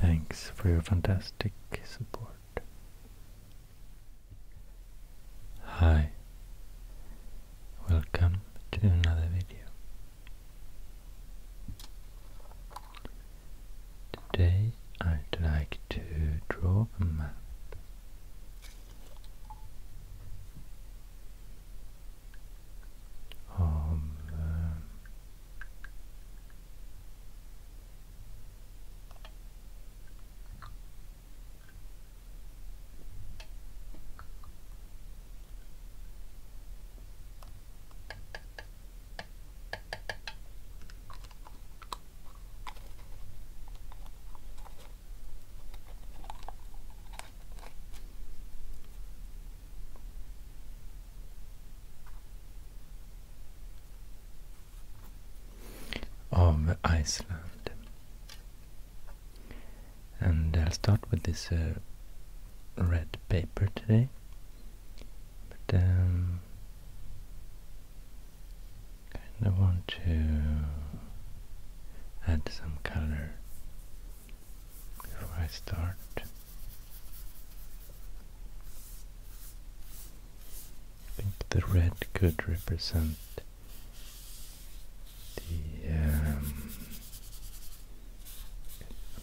Thanks for your fantastic support. Hi, welcome to another video. Today I'd like to draw a map. Of uh, of Iceland and I'll start with this uh, red paper today but um, I want to add some color before I start I think the red could represent the um,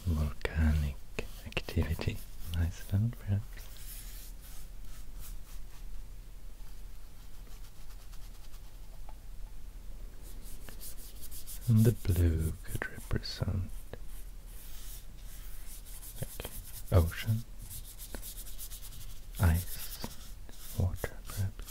volcanic activity Iceland, perhaps. And the blue could represent like ocean, ice, water perhaps.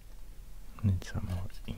Need some more ink.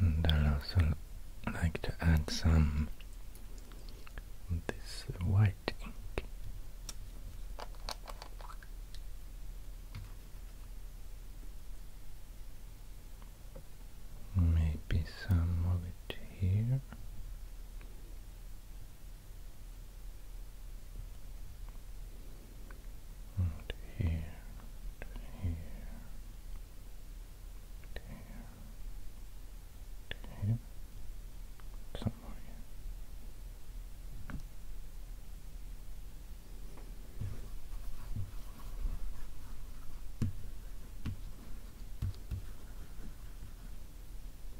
And I'll also like to add some this white ink. Maybe some of it here and here, and here, here, and here, here.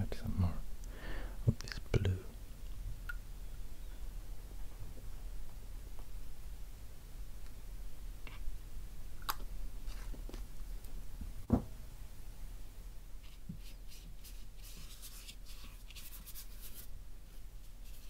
Add some more of oh, this blue.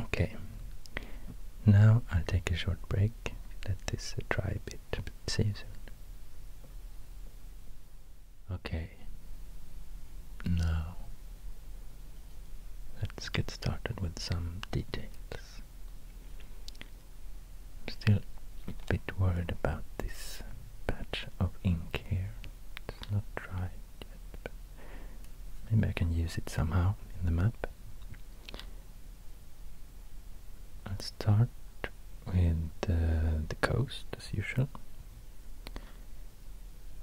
Okay, now I'll take a short break, let this dry a bit, see you soon. Okay, now let's get started with some details. I'm still a bit worried about this patch of ink here. It's not dry yet, maybe I can use it somehow in the map. Let's start with uh, the coast as usual.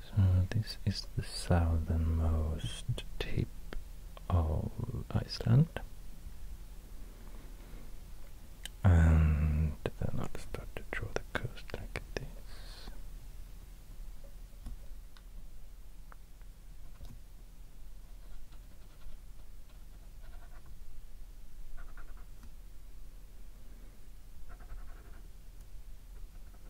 So this is the southernmost tape of Iceland. And then i start to draw the coast like this.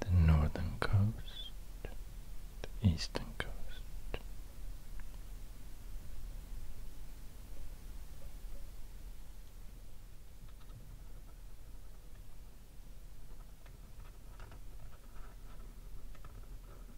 The northern coast, the eastern coast.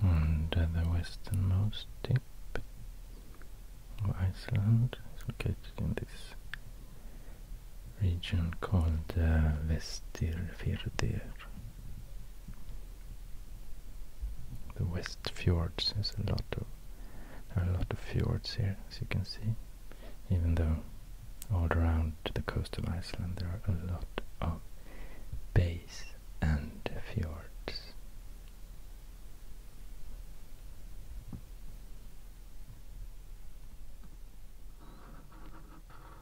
And uh, the westernmost tip of Iceland is located in this region called uh, Vestfirðir. The West Fjords There's a lot of there are a lot of fjords here, as you can see. Even though all around the coast of Iceland there are a lot of bays and fjords.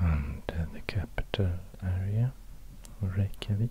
And the capital area, Reykjavik.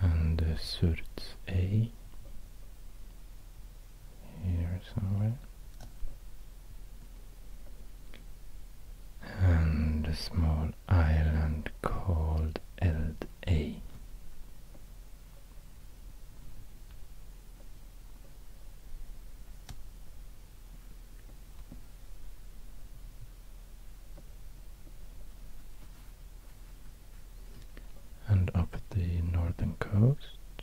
and the third A here somewhere and a small island called Eld A. And up the northern coast,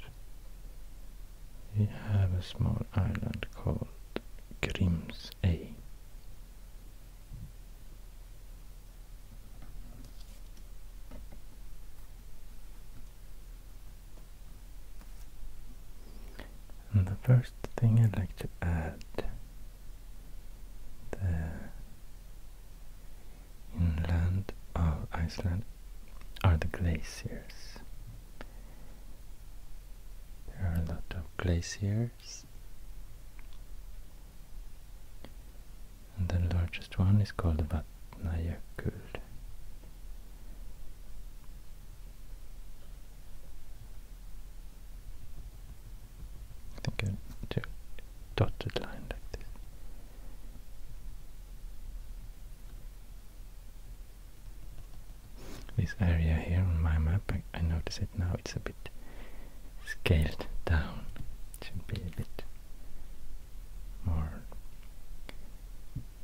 we have a small island called Grimsey. And the first thing I'd like to add the inland of Iceland are the glaciers. There are a lot of glaciers, and the largest one is called Vatnajökull. I think I do dotted line like this. This area here on my map, I, notice it now, it's a bit scaled down. It should be a bit more,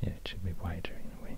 yeah, it should be wider in a way.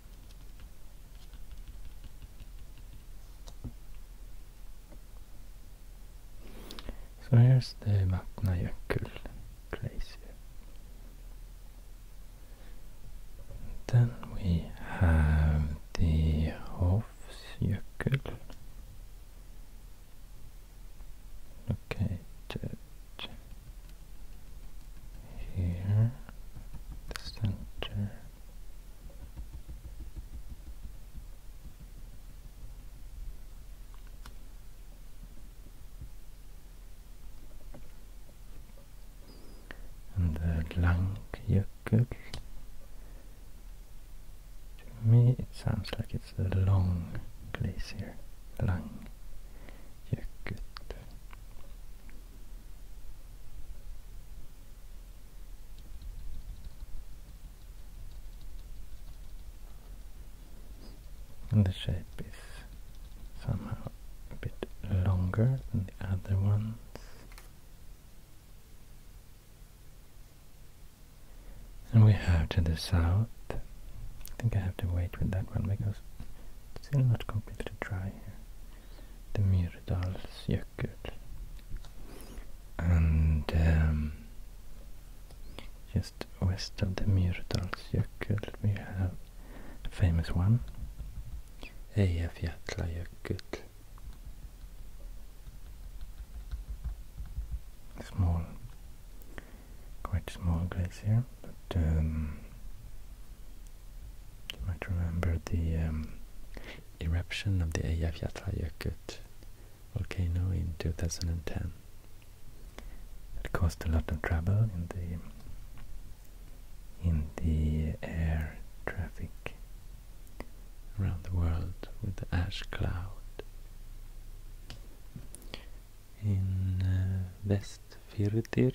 So here's the Vatnajökull glacier. Then we have the Hofsjökull located here, the center the Langjökull. To me it sounds like it's a long glacier, Langjökull and the shape is somehow a bit longer than the other ones and we have to the south I think I have to wait with that one because it's still not completely dry here the Myrdalsjökull. And um, just west of the Myrdalsjökull we have a famous one, Eyjafjallajökull. Small, quite small glacier, but um, you might remember the um, eruption of the Eyjafjallajökull volcano in 2010. It caused a lot of trouble in the in the air traffic around the world with the ash cloud. In uh, West Vestfirðir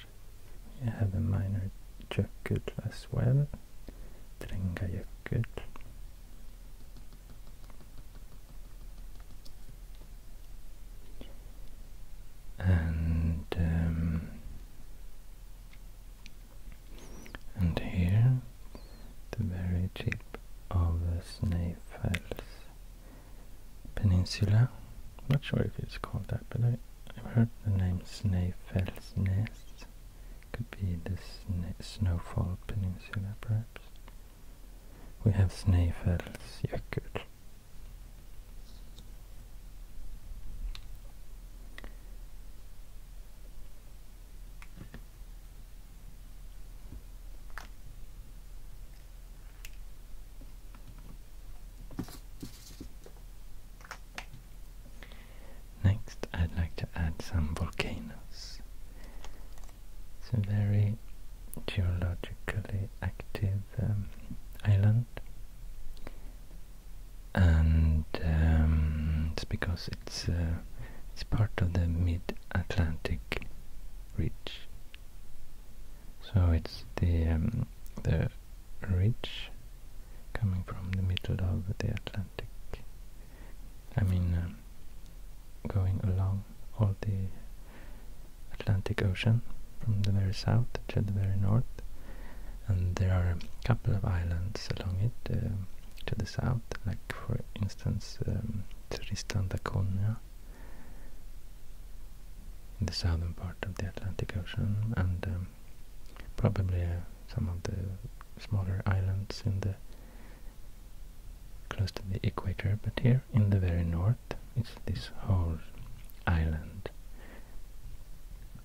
here have a minor jacket as well, Drengajökull. And um, and here the very tip of the Snæfells Peninsula. Not sure if it's called that, but I I've heard the name Snæfellsnes. Could be the Snowfall Peninsula, perhaps. We have Snæfellsjökull. Next I'd like to add some volcanoes. It's a very geologically active um, island and um, it's because it's, uh, it's part of the mid-Atlantic ridge so it's the, um, the ridge coming from the middle of the Atlantic. I mean, um, going along all the Atlantic Ocean from the very south to the very north, and there are a couple of islands along it uh, to the south, like for instance um, Tristan da Cunha in the southern part of the Atlantic Ocean, and um, probably a some of the smaller islands in the close to the equator, but here in the very north it's this whole island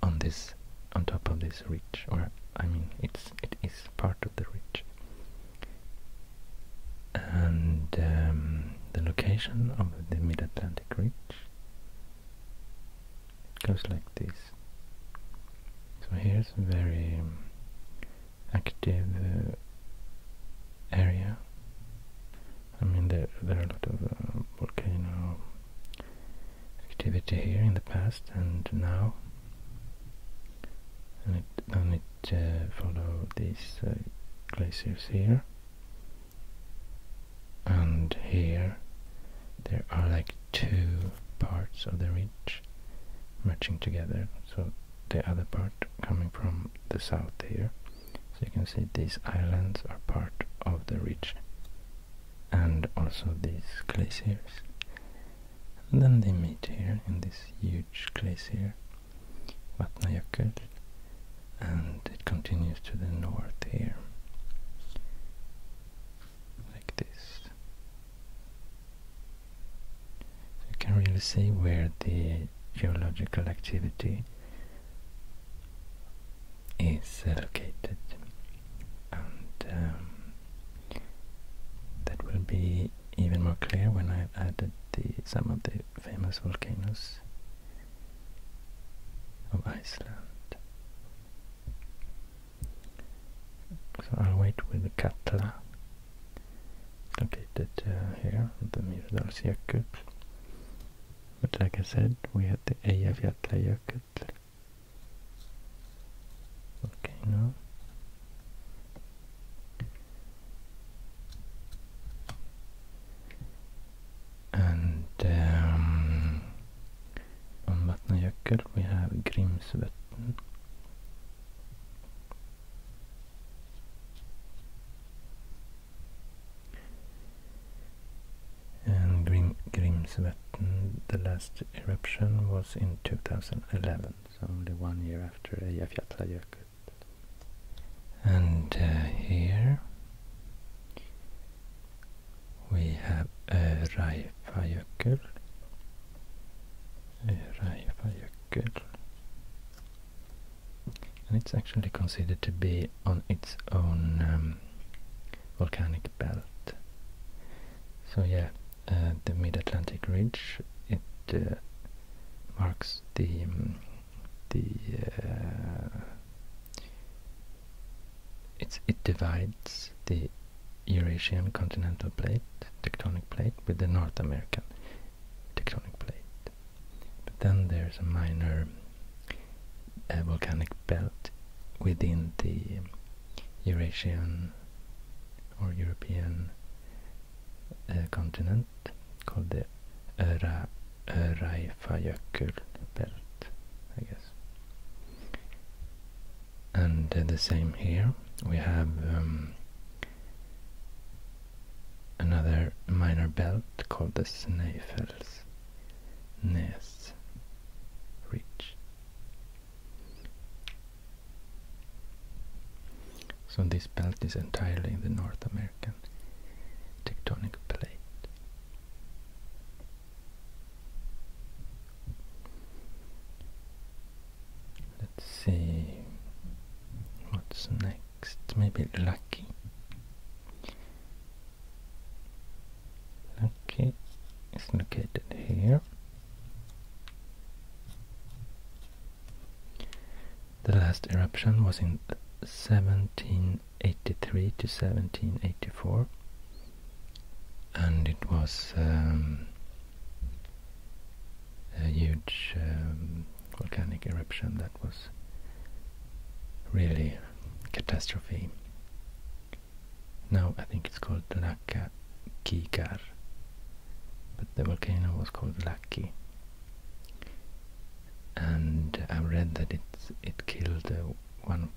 on this on top of this ridge, or I mean it's it is part of the ridge. And um, the location of the mid-Atlantic ridge it goes like this. So here's a very um, active uh, area. I mean, there there are a lot of uh, volcano activity here in the past and now, and it and uh, follow these glaciers here and here there are like two parts of the ridge merging together so the other part coming from the south here so you can see these islands are part of the ridge and also these glaciers and then they meet here in this huge glacier Vatnajökull and it continues to the north here like this. you can really see where the geological activity is located, and um, that will be even more clear when I've added some of the famous volcanoes of Iceland so I'll wait with the Katla, located uh, here at the Myrdalsjökull. But like I said, we have the Okay, volcano. And um, on Vatnajökull we have Grimsvötn. And Grim Grimsvötn, the last eruption was in 2011, so only one year after Eyjafjallajökull. And uh, here we have Reifajökull, Reifajökull, and it's actually considered to be on its own um, volcanic belt. So yeah, uh, the Mid-Atlantic Ridge it uh, marks the um, the uh, it divides the Eurasian continental plate, tectonic plate, with the North American tectonic plate. But then there's a minor volcanic belt within the Eurasian or European continent called the Öra, Öraifajökull belt, I guess and uh, the same here we have um, another minor belt called the Snaefell's Nes Ridge so this belt is entirely in the North American tectonic plate Let's see what's next. Maybe lucky. Lucky is located here. The last eruption was in 17 1783 to 1784 and it was um, a huge um, volcanic eruption that was really catastrophe. Now I think it's called Laka Kikar, but the volcano was called Laki. And I read that it it killed uh, one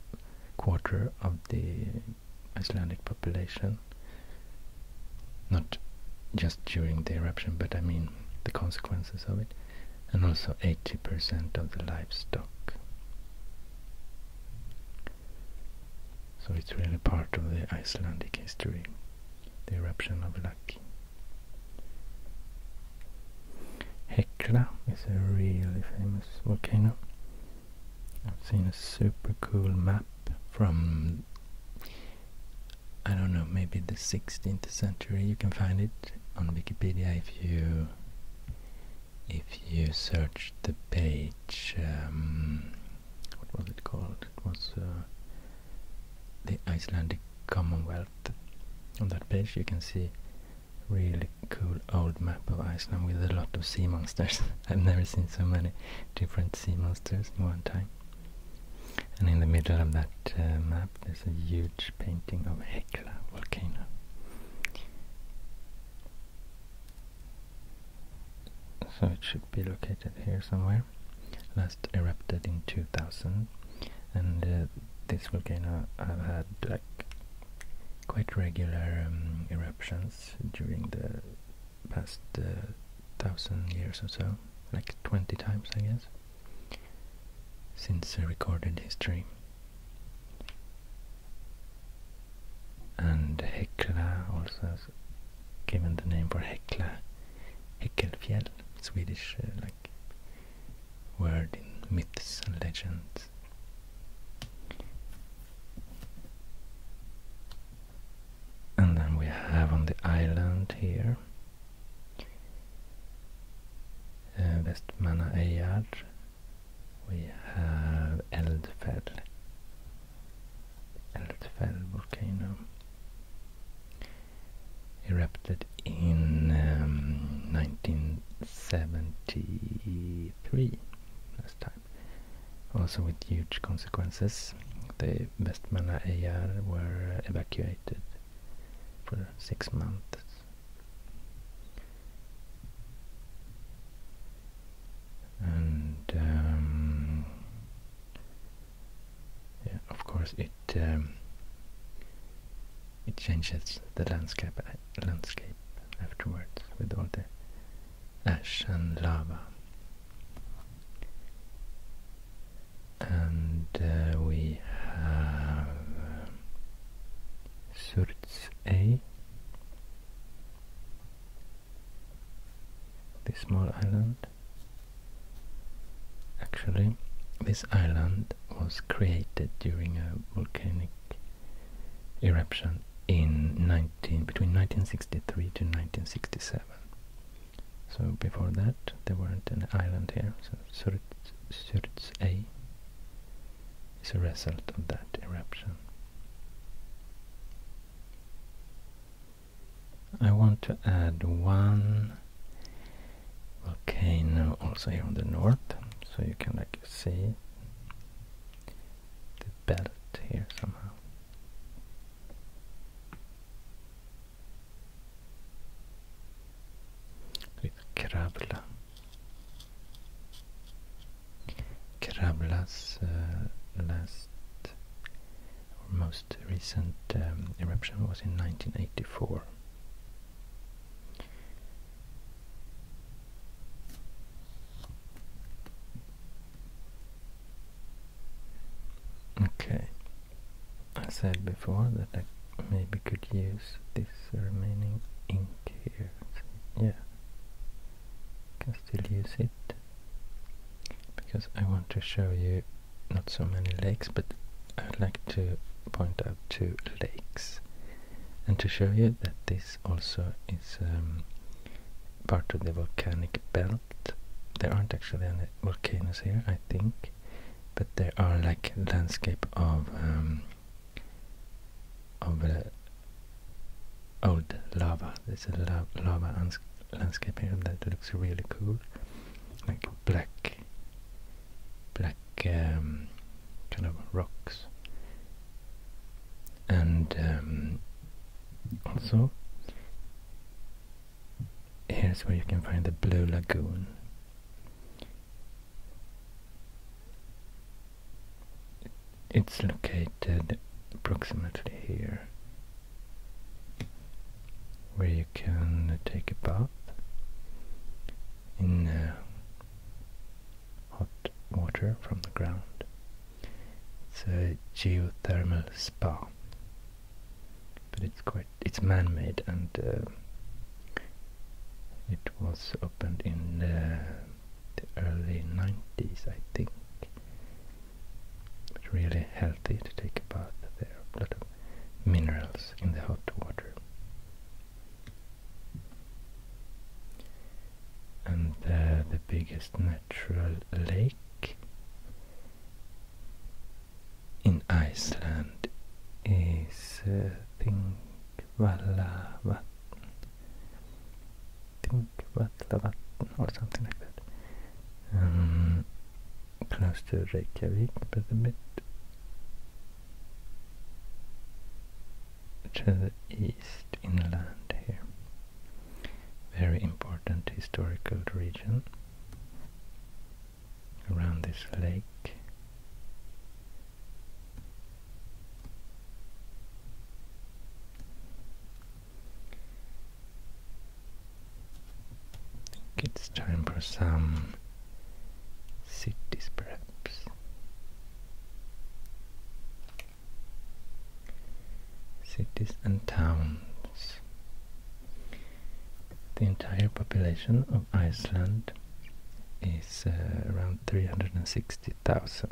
quarter of the Icelandic population. Not just during the eruption, but I mean the consequences of it, and also 80% of the livestock. So it's really part of the Icelandic history, the eruption of Laki. Hekla is a really famous volcano I've seen a super cool map from, I don't know, maybe the 16th century. You can find it on Wikipedia if you if you search the page. Um, what was it called? It was uh, the Icelandic Commonwealth. On that page, you can see really cool old map of Iceland with a lot of sea monsters. I've never seen so many different sea monsters in one time. And in the middle of that uh, map there's a huge painting of Hecla volcano. So it should be located here somewhere. Last erupted in 2000 and uh, this volcano I've had like quite regular um, eruptions during the past uh, thousand years or so, like 20 times I guess, since uh, recorded history. And Hekla also has given the name for Hekla, Hekelfjell, Swedish uh, like word in myths and legends. And then we have on the island here uh, Vestmanna Eyjar. We have Eldfell. Eldfell volcano erupted in 1973 um, last time. Also with huge consequences, the best Vestmanna Eyjar were uh, evacuated for six months. And um, of course, it um, it changes the landscape landscape afterwards with all the ash and lava. And uh, we have Surts A, this small island. Actually, this island was created during a volcanic eruption in between 1963 to 1967. So before that there weren't an island here, so Surts, Surts A is a result of that eruption. I want to add one volcano also here on the north, so you can like see the belt here somehow. With Krabla. Krabla's uh, last most recent um, eruption was in 1984. Okay, I said before that I maybe could use this remaining ink here. Yeah, I can still use it because I want to show you not so many lakes, but I'd like to point out two lakes and to show you that this also is um, part of the volcanic belt there aren't actually any volcanoes here I think but there are like landscape of um, of uh, old lava there's a lava landscape here that looks really cool like black black um, kind of rocks and um, also here's where you can find the blue lagoon it's located approximately here where you can take a bath in uh, hot water from the ground. It's a geothermal spa, but it's quite it's man-made and uh, it was opened in uh, the, early 90s, I think. It's really healthy to take a bath there, a lot of minerals in the hot water and the biggest natural lake in Iceland is uh, Thingvallavatn or something like that um, close to Reykjavik but a bit to the east inland here. Very important historical region around this lake. it's time for some cities perhaps. Cities and towns. The entire population of Iceland is uh, around 360,000.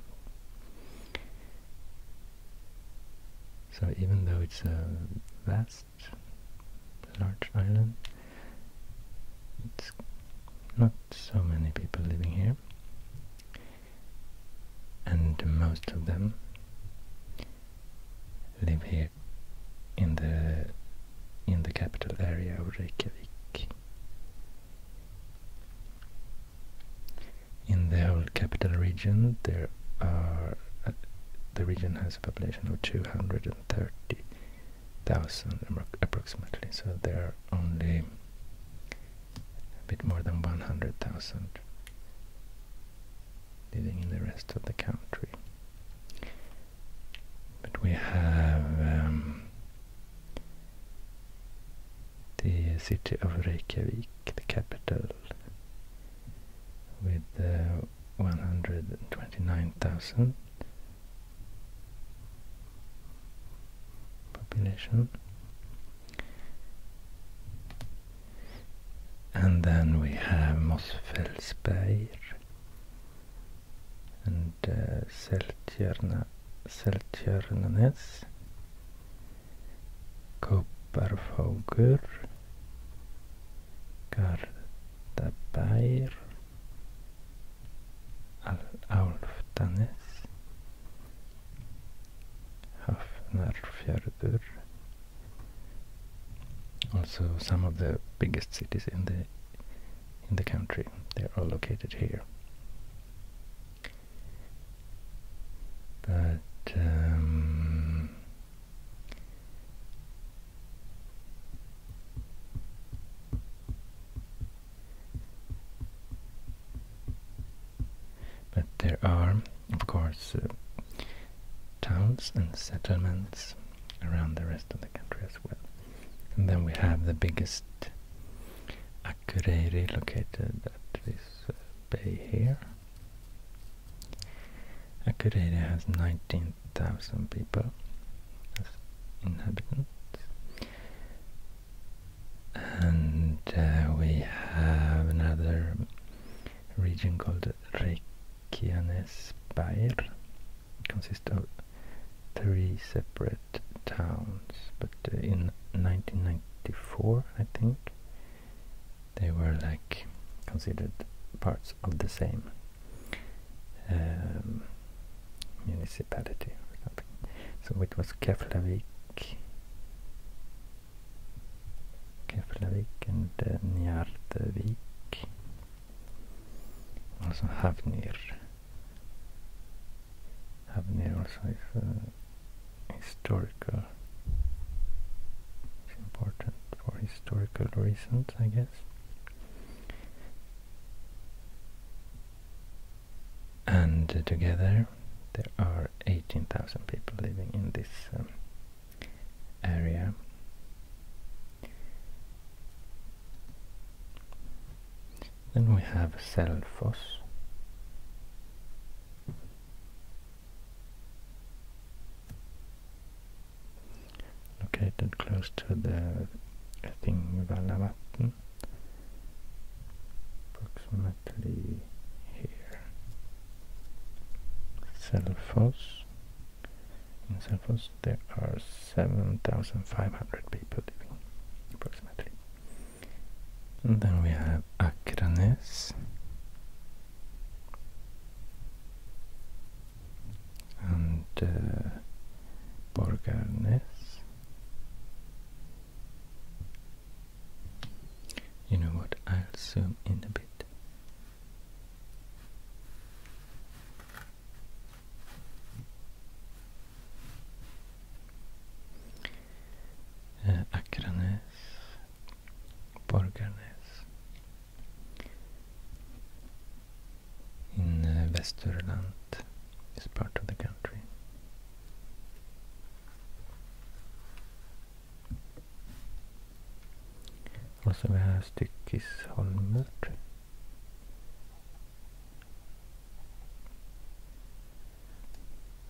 So even though it's a vast, large island, it's not so many people living here and most of them live here in the in the capital area of Reykjavik. In the whole capital region there are uh, the region has a population of 230,000 approximately, so there are only a bit more than 100,000 living in the rest of the country. But we have um, the city of Reykjavik, the capital, with uh, 129,000 population and then we have Mosfellsberg and uh, Seltjärna, Seltjärnanes, also some of the biggest cities in the in the country they're all located here but um, but there are, of course, uh, towns and settlements around the rest of the country as well. And then we have the biggest Akureyri located at this uh, bay here. Akureyri has 19,000 people as inhabitants and uh, we have another region called Reykjanesbær. Consists of three separate towns, but uh, in 1994, I think, they were like considered parts of the same. Um, municipality something. So it was Keflavik, Keflavik and uh, Njartevik, also Havnir. Havnir also is uh, historical, it's important for historical reasons I guess and together there are 18,000 people living in this um, area. Then we have Selfos. Located close to the Thingvallavatn approximately here. Selfos. In Selfos there are 7,500 people living, approximately. And then we have Akranes. And uh, Borgarnes. You know what? I'll zoom in a bit. Uh, Akranes, Borgarnes in uh, Västerland is part of the country. Och så har vi här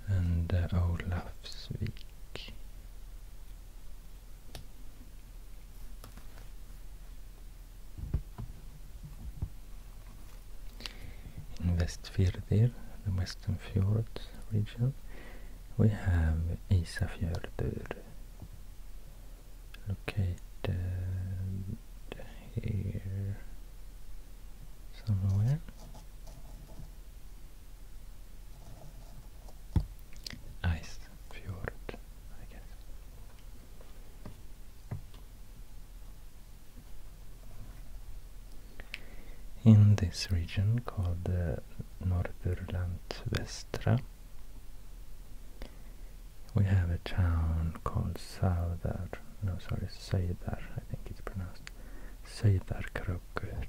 And uh, in Vestfjordir, the Western Fjords region, we have Isafjordur, located here somewhere. Ice fjord, I guess in this region called the Norrburland we have a town called Saudar, no sorry, Seidar, I think it's pronounced Seidarkrokur.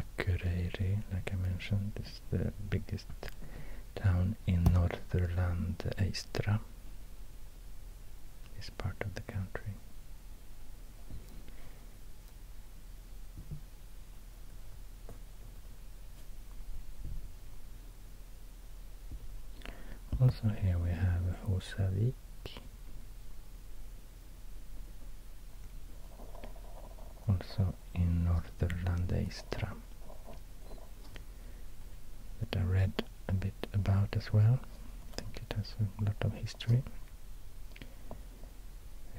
Akureyri, like I mentioned, is the biggest town in Norrland Eistra, this part of the country. Also here we have Husavik also in Norderlandeistra that I read a bit about as well. I think it has a lot of history.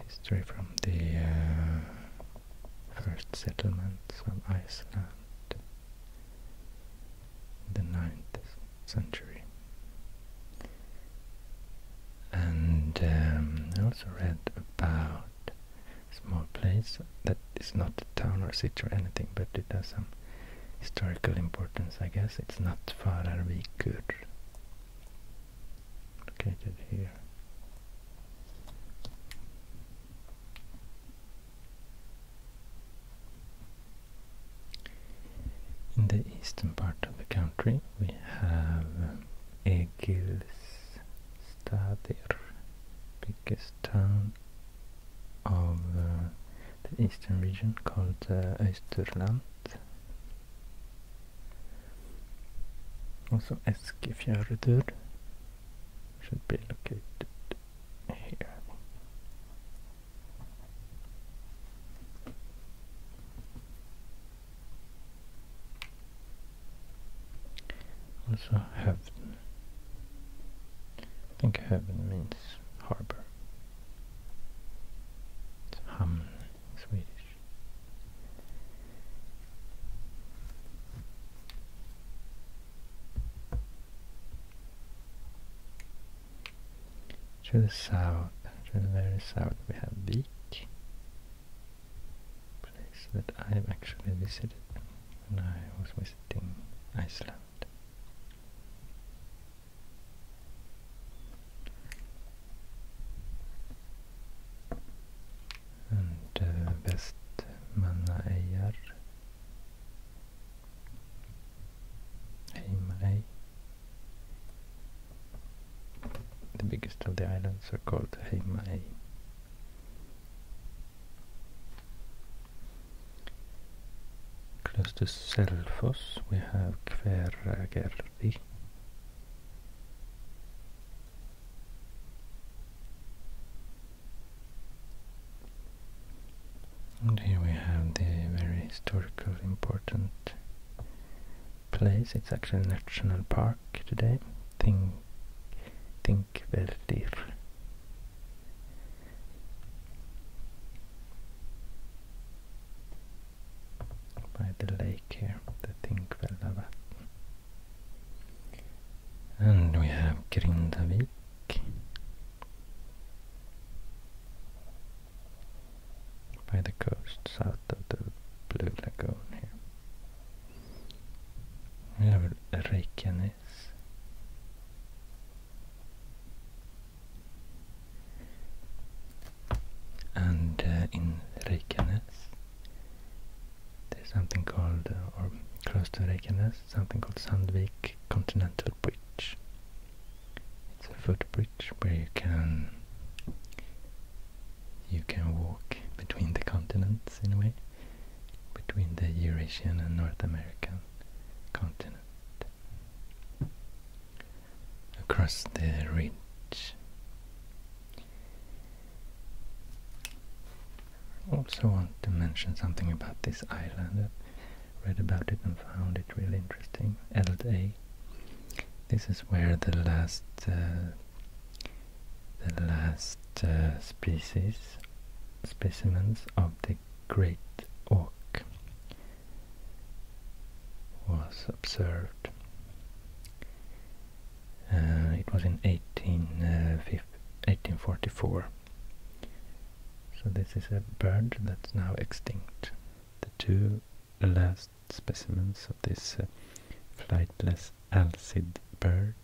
History from the uh, first settlements of Iceland the 90s century. And um, I also read about a small place that is not a town or city or anything, but it has some historical importance, I guess. It's not Fararvikur, located here. In the eastern part of the country we have um, Egilstadir, biggest town of uh, the eastern region called uh, Österland. Also Eskifjörður should be located here. Also Haven. I think heaven means harbor. It's Swedish to the south, to the very south we have Beek, place that I've actually visited when I was visiting Iceland. And uh, best manna eyjar, the biggest of the islands are called Heimaey. Close to Selfoss we have Kveragerði. And here we have the very historical important place. It's actually a national park today. Think Thinkvellir. By the lake here, the Thinkvellavatn. And we have Grindavik by the coast south of the Blue Lagoon here. We have Reykjanes. And uh, in Reykjanes, there's something called, uh, or close to Reykjanes, something called Sandvik Continental Bridge. It's a footbridge where you can you can walk between the continents in a way, between the Eurasian and North American continent. Across the ridge. I Also want to mention something about this island read about it and found it really interesting. LA. This is where the last uh, the last uh, species specimens of the great auk was observed. Uh, it was in 18, 1844. So this is a bird that's now extinct. The two the last specimens of this uh, flightless alcid bird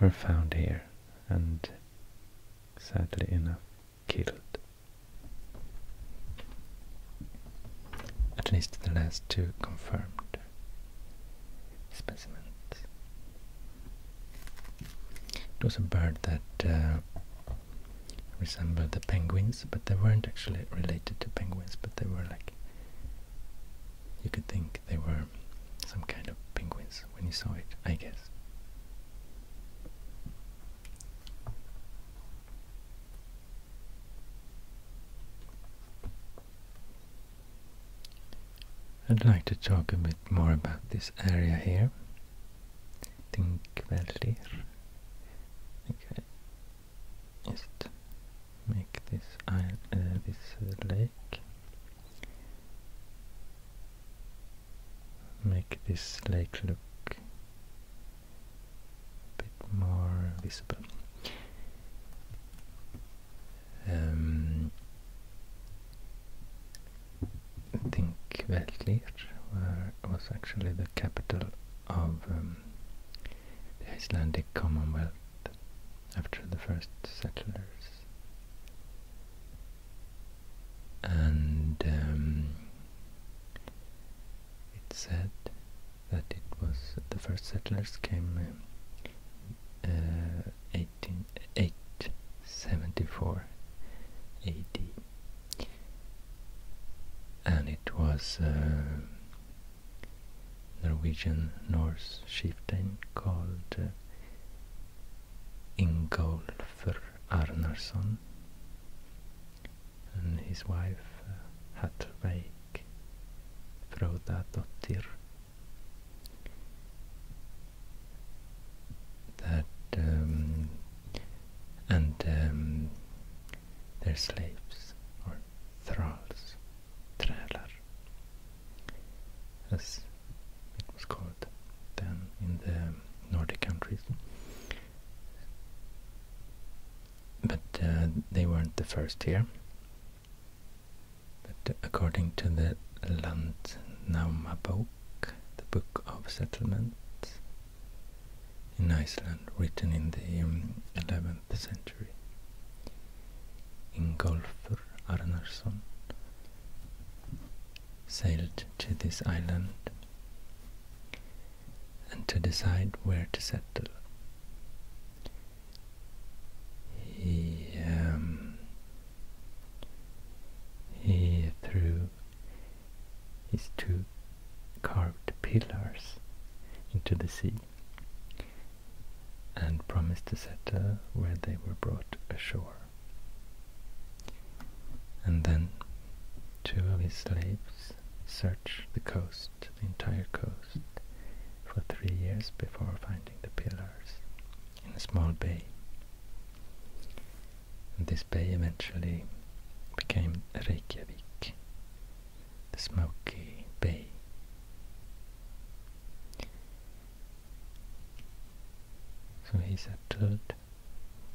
were found here and sadly enough killed. At least the last two confirmed specimens. It was a bird that uh, resemble the penguins, but they weren't actually related to penguins, but they were like you could think they were some kind of penguins when you saw it, I guess. I'd like to talk a bit more about this area here, Dinkvellir. Okay, just make this island, uh, this uh, lake. Make this lake look a bit more visible. Um, Dinkvellir were, was actually the capital of um, the Icelandic Commonwealth after the first settlers. And um, it said that it was the first settlers came uh, uh 18, AD and it was uh, Norwegian Norse chieftain called uh, Ingolfur Arnason, and his wife uh, Hatveik Frodadottir that um, and um, their slaves or thralls, trælar, as it was called then in the Nordic countries. But uh, they weren't the first here. But according to the Landnámabók, the Book of Settlement in Iceland, written in the 11th um, century. Ingolfur Arnarsson sailed to this island and to decide where to settle. He um, he threw his two carved pillars into the sea and promised to Seta where they were brought ashore. And then two of his slaves searched the coast, the entire coast, for three years before finding the pillars in a small bay. And this bay eventually became Reykjavik, the Smoky Bay. So he settled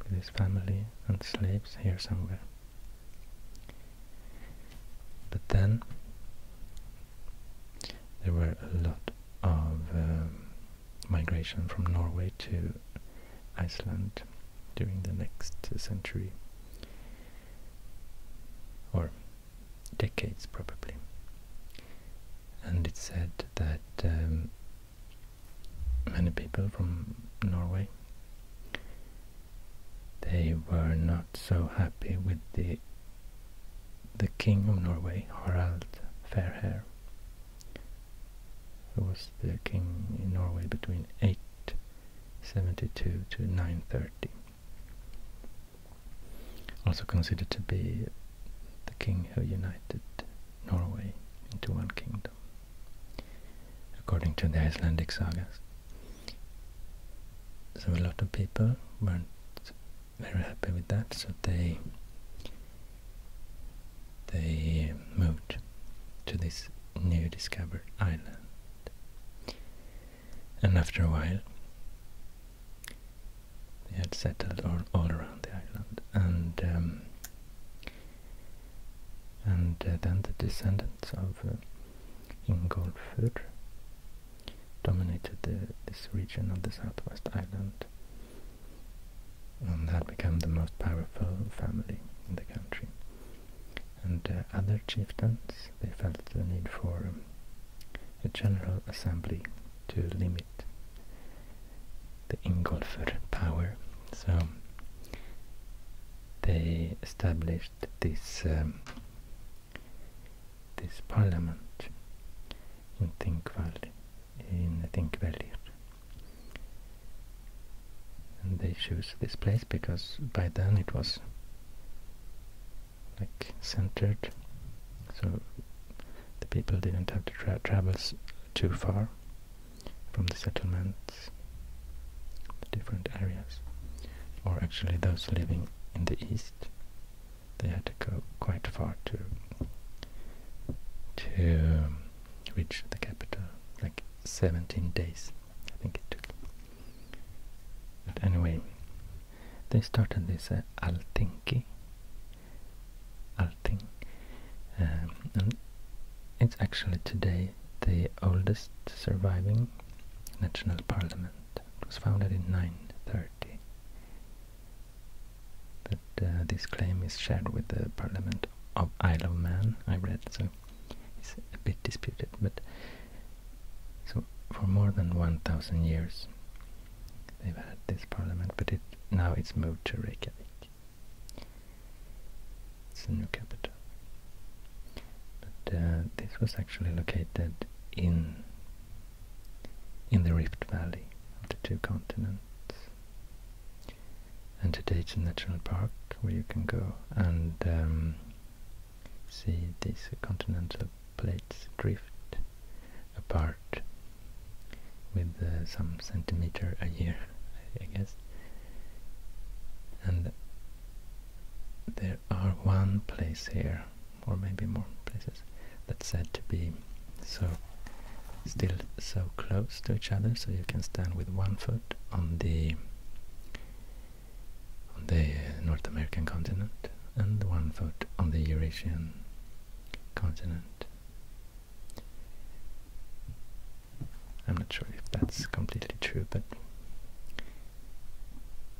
with his family and slaves here somewhere. But then there were a lot of um, migration from Norway to Iceland during the next century or decades probably. And it said that um, many people from Norway they were not so happy with the the king of Norway, Harald Fairhair, who was the king in Norway between 872 to 930. Also considered to be the king who united Norway into one kingdom, according to the Icelandic sagas. So a lot of people weren't very happy with that, so they they moved to this new discovered island. And after a while, they had settled all, around the island, and um, and uh, then the descendants of uh, Ingolfur dominated this region of the southwest island and had become the most powerful family in the country. And uh, other chieftains, they felt the need for um, a general assembly to limit the Ingolfer power. So they established this um, this parliament in Thinkvall, in and they chose this place because by then it was like centered, so the people didn't have to travel too far from the settlements, the different areas, or actually those living in the east. They had to go quite far to to um, Reached the capital, like 17 days, I think it took. But anyway, they started this uh, Altinki, Alting, um, and it's actually today the oldest surviving national parliament. It was founded in 930. Uh, this claim is shared with the Parliament of Isle of Man, I read, so it's a bit disputed. But so for more than 1,000 years they've had this Parliament, but now it's moved to Reykjavik. It's the new capital. But uh, this was actually located in in the Rift Valley of the two continents and today it's a national park where you can go and um, see these continental plates drift apart with uh, some centimeter a year, I, I guess. And there are one place here, or maybe more places, that's said to be so still so close to each other, so you can stand with one foot on the on the North American continent and one foot on the Eurasian continent. I'm not sure if that's completely true, but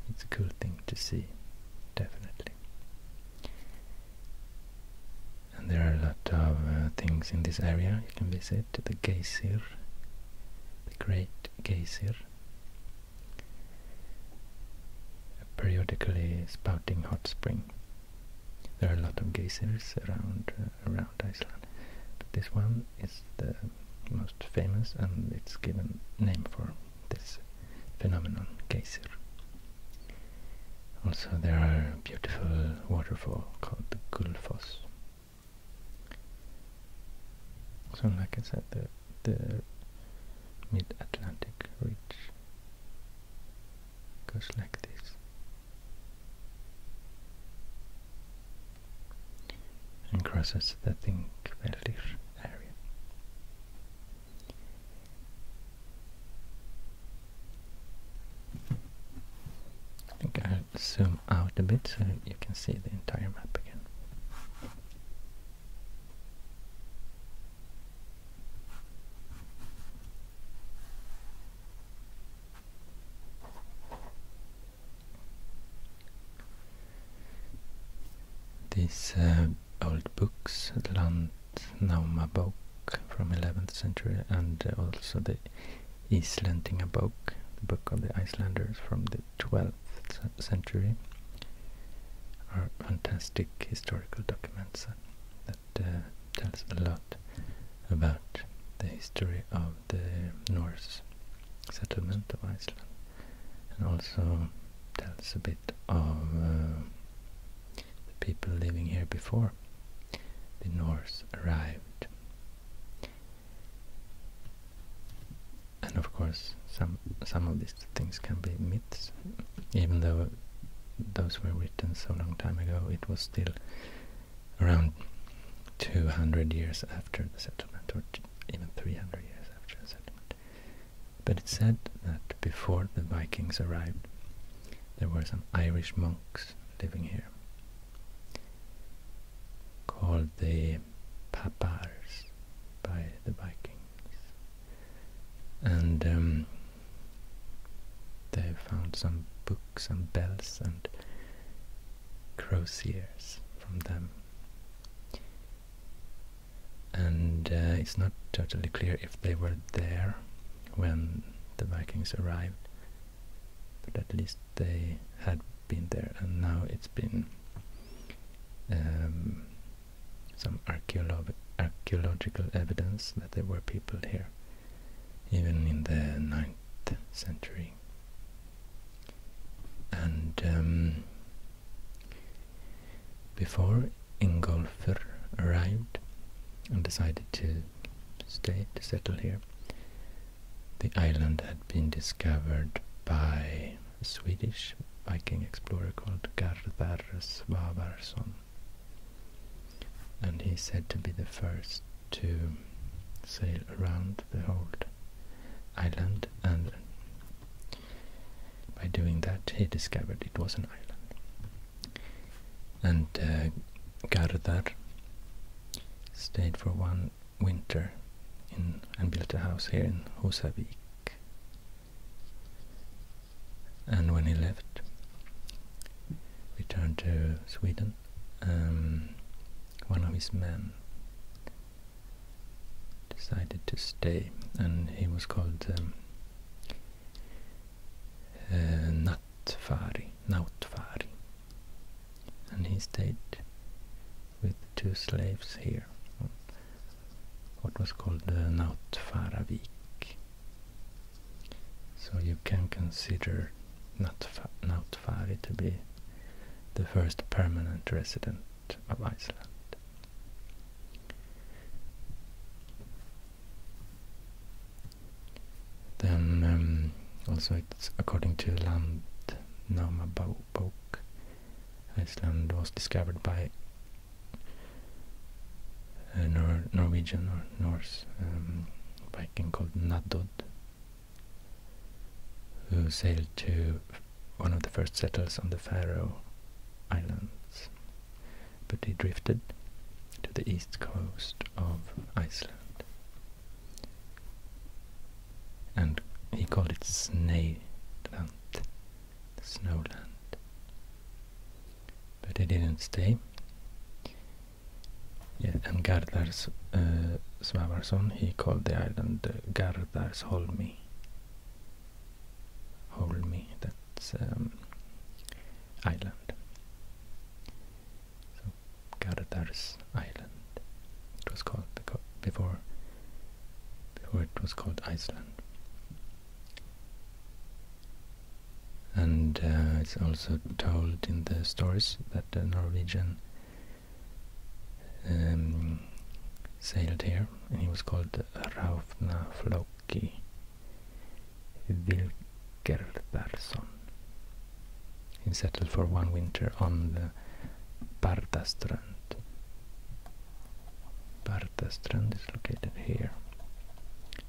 it's a cool thing to see, definitely. And there are a lot of uh, things in this area you can visit. The Geysir, the Great Geysir, a periodically spouting hot spring. There are a lot of geysers around uh, around Iceland, but this one is the most famous, and it's given name for this phenomenon, geysir. Also there are beautiful waterfall called the Gullfoss. So like I said, the, the mid-Atlantic ridge goes like this. And crosses the Dinkvellir area. I think I'll zoom out a bit so you can see the entire map again. These uh, old books, Landnaumabok from 11th century and uh, also the Islendinga book, the book of the Icelanders from the 12th century are fantastic historical documents uh, that uh, tells a lot about the history of the Norse settlement of Iceland and also tells a bit of uh, the people living here before the Norse arrived. And of course, some some of these things can be myths, even though those were written so long time ago. It was still around 200 years after the settlement, or even 300 years after the settlement. But it's said that before the Vikings arrived, there were some Irish monks living here, called the Papars by the Vikings. And um, they found some books and bells and crosiers from them. And uh, it's not totally clear if they were there when the Vikings arrived but at least they had been there and now it's been um, some archaeological evidence that there were people here even in the 9th century and um, before Ingolfr arrived and decided to stay settle here. The island had been discovered by a Swedish Viking explorer called Garðar Svavarsson, and he's said to be the first to sail around the whole island, and by doing that he discovered it was an island. And uh, Garðar stayed for one winter and built a house here in Hosavik. And when he left, returned to Sweden, um, one of his men decided to stay, and he was called um, uh, Nattfari. Nautvari. And he stayed with two slaves here, what was called the uh, Nautfaravik. So you can consider Nautfa to be the first permanent resident of Iceland. Then um, also according to Landnámabók, Iceland was discovered by a uh, Nor Norwegian or Norse um, Viking called Naddod, who sailed to one of the first settlers on the Faroe Islands, but he drifted to the east coast of Iceland and he called it Snæland, Snowland. But he didn't stay. and Gardar uh, he called the island uh, Gardarsholmi. Holmi, that's um, island. Gardar's Island. It was called before before it was called Iceland. And uh, it's also told in the stories that the Norwegian um, sailed here, and he was called Raufna Vilgerberson. He settled for one winter on the Bardastrand. Bardastrand is located here,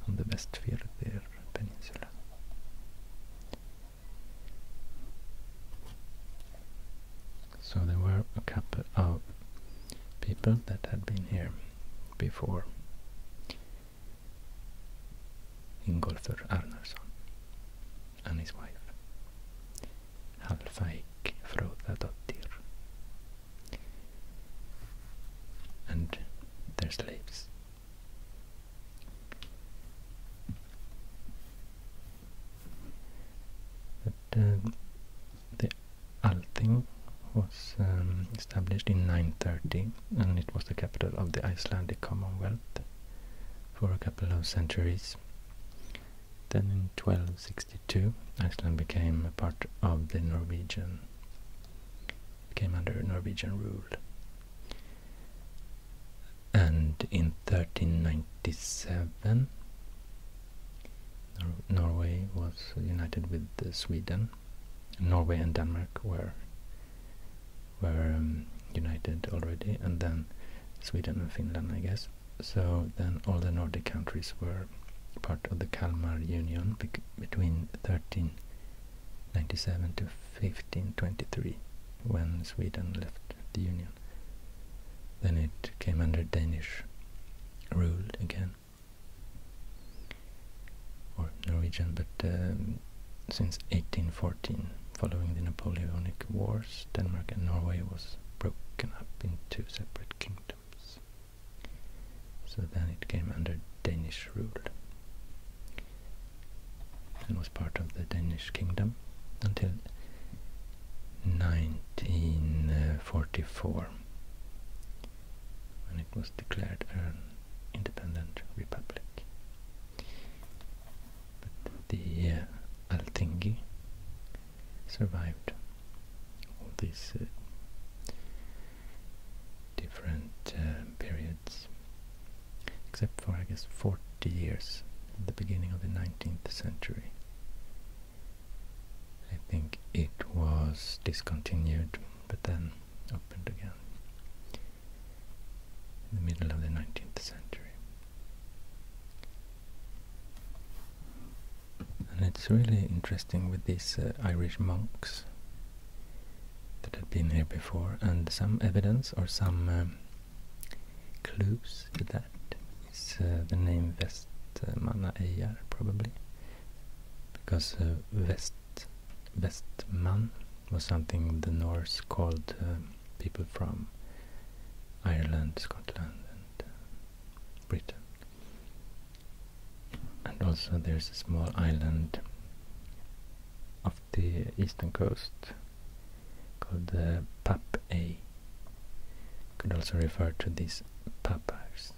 on the Vestfjordir Peninsula. So there were a couple of people that had been here before. Ingolfur Arnarsson and his wife Halfeik Fróðadóttir and their slaves. But, uh, the Althing was um, established in 930 and it was the capital of the Icelandic Commonwealth for a couple of centuries. Then in 1262 Iceland became a part of the Norwegian, became under Norwegian rule. And in 1397 Norway was united with Sweden. Norway and Denmark were were um, united already, and then Sweden and Finland, I guess. So then all the Nordic countries were part of the Kalmar Union between 1397 to 1523, when Sweden left the Union. Then it came under Danish rule again, or Norwegian, but um, since 1814. Following the Napoleonic Wars, Denmark and Norway was broken up into separate kingdoms. So then it came under Danish rule and was part of the Danish kingdom until 1944 when it was declared an independent republic. But the uh, Altingi survived all these uh, different uh, periods, except for, I guess, 40 years, at the beginning of the 19th century. I think it was discontinued, but then opened again in the middle of the 19th century. And it's really interesting with these uh, Irish monks that had been here before, and some evidence or some um, clues to that is uh, the name Vestmannaeyjar, probably, because uh, Vest Bestman was something the Norse called uh, people from Ireland, Scotland and uh, Britain. And also there's a small island of the eastern coast called the uh, Papay. Could also refer to these Papars.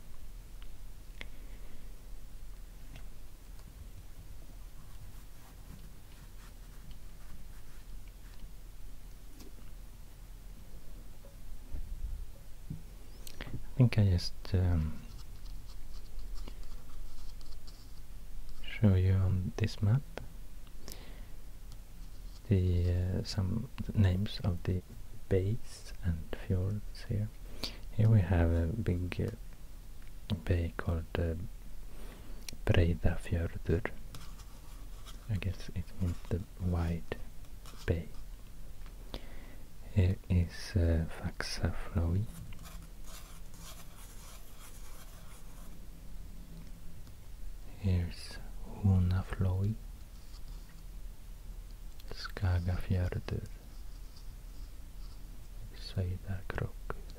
I think I just um, show you on this map the uh, some names of the bays and fjords here. Here we have a big uh, bay called uh, um, Breiðafjörður. I guess it means the wide bay. Here is uh, Faxaflói. Here's Húnaflói. Skagafjörður. Sauðarkrókur.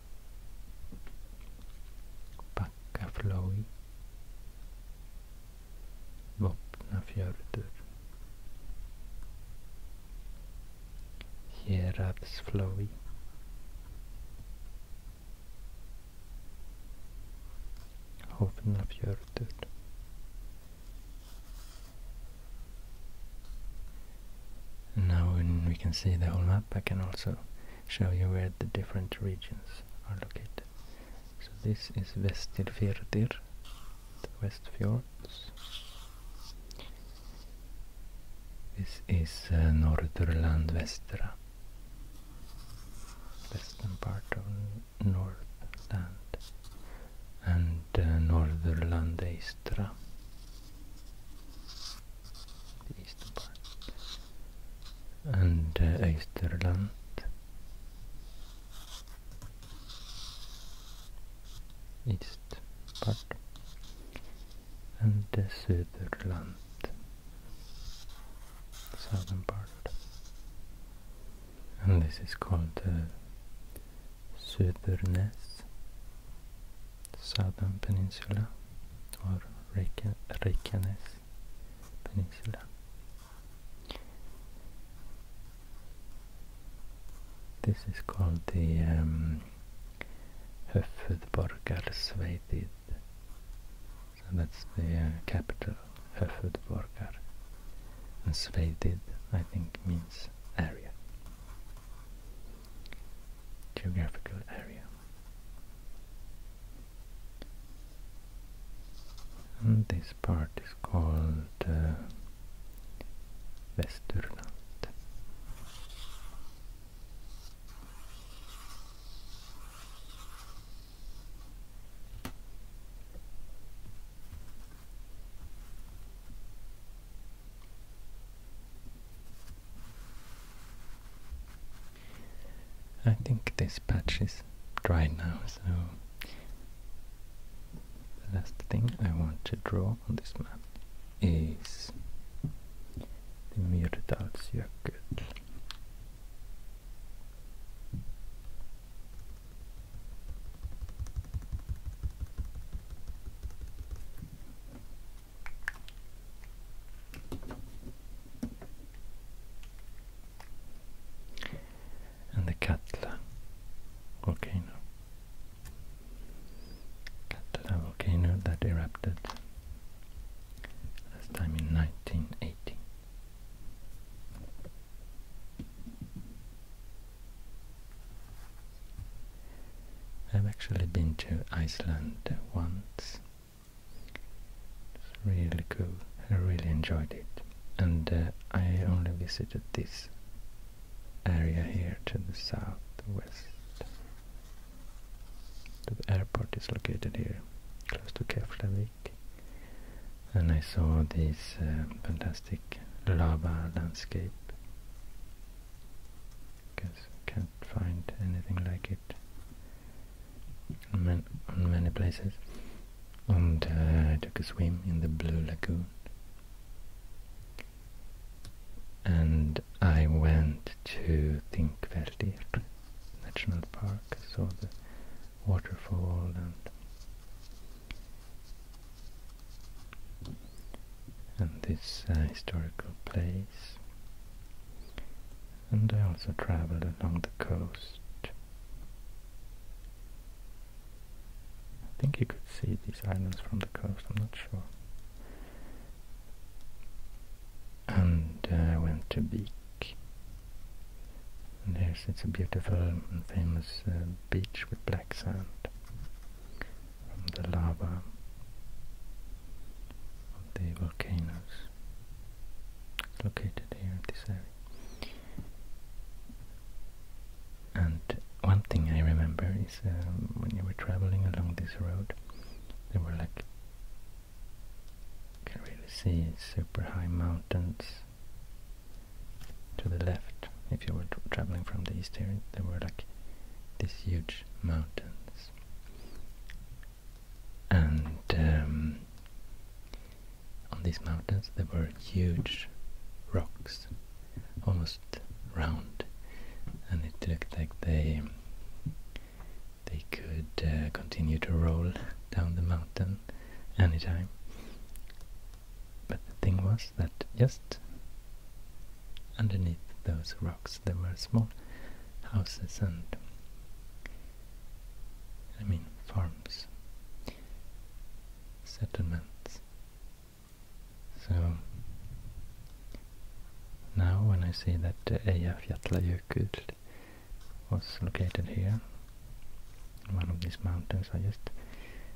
Backaflöj Vopnafjörður Héradsflói Hofnafjörður And now when we can see the whole map I can also show you where the different regions are located. So this is Vestirfjörður, the West Fjords. This is uh, Norðurland Vestra, western part of Northland, and uh, Norðurland Eystra the eastern part, and uh, Österland. East part and uh, the Söderland, southern part, and this is called the uh, southern peninsula or Reykja Peninsula. This is called the um, Höfuðborgarsveitir. So that's the uh, capital, Höfuðborgar. And Sveitir, I think, means area, geographical area and this part is called uh, Västerland. I think this patch is dry now, so the last thing I want to draw on this map is the Miradals jacket and the Katla volcano. Katla volcano that erupted last time in 1980. I've actually been to Iceland once it's really cool. I really enjoyed it. And uh, I only visited this area here to the southwest. The airport is located here, close to Keflavik. And I saw this uh, fantastic lava landscape. I can't find anything like it man on many places and I uh, took a swim in the Blue Lagoon and I went to Thinkveldir National Park, I saw the waterfall and this uh, historical place and I also traveled along the coast. I think you could see these islands from the coast, I'm not sure. And I went to Beek. And here's it's a beautiful and famous uh, beach with black sand from the lava of the volcanoes located here in this area. And one thing I remember is um, when you were traveling along this road, there were like you can really see super high mountains to the left. If you were traveling from the east here, there were like these huge mountains and um, on these mountains there were huge rocks, almost round, and it looked like they they could uh, continue to roll down the mountain anytime. But the thing was that just underneath those rocks there were small houses and I mean farms, settlements. So now when I see that uh, Eyjafjallajökull was located here, in one of these mountains, I just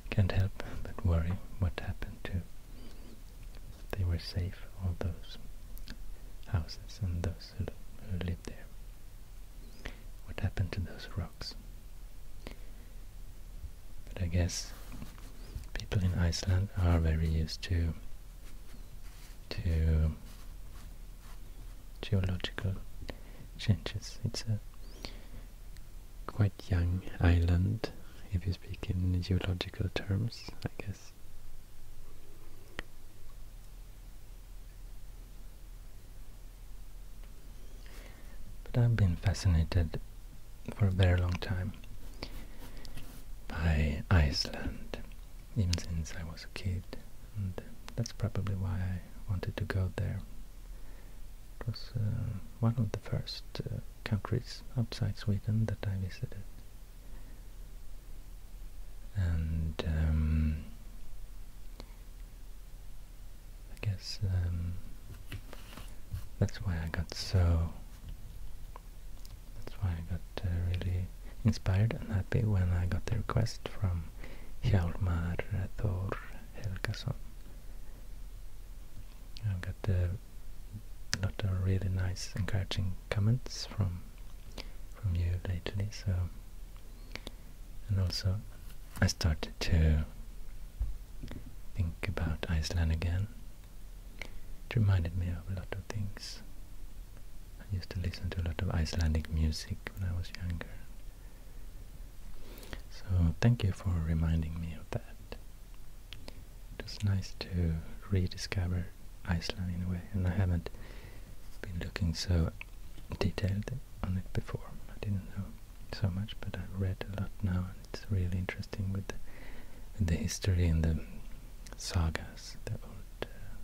can't help but worry what happened to. They were safe, all those houses and those who lived there. What happened to those rocks? But I guess people in Iceland are very used to to geological changes. It's a quite young island if you speak in geological terms, I guess. But I've been fascinated for a very long time by Iceland, even since I was a kid, and that's probably why I wanted to go there. It was uh, one of the first uh, countries outside Sweden that I visited and um, I guess um, that's why I got so that's why I got uh, really inspired and happy when I got the request from Hjalmar Thor Helgason. I got a lot of really nice encouraging comments from from you lately. So, and also, I started to think about Iceland again. It reminded me of a lot of things. I used to listen to a lot of Icelandic music when I was younger. So thank you for reminding me of that. It was nice to rediscover Iceland in a way, and I haven't been looking so detailed on it before. I didn't know so much, but I've read a lot now, and it's really interesting with the, history and the sagas, the old uh,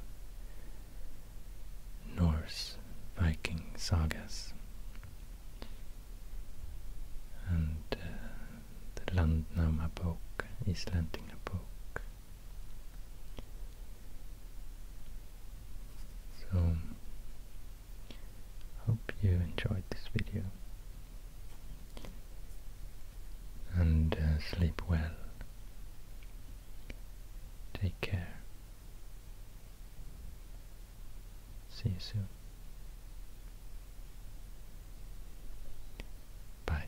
Norse, Viking sagas, and uh, the Landnámabók, Íslandingabók, so, hope you enjoyed this video and uh, sleep well. Take care. See you soon. Bye.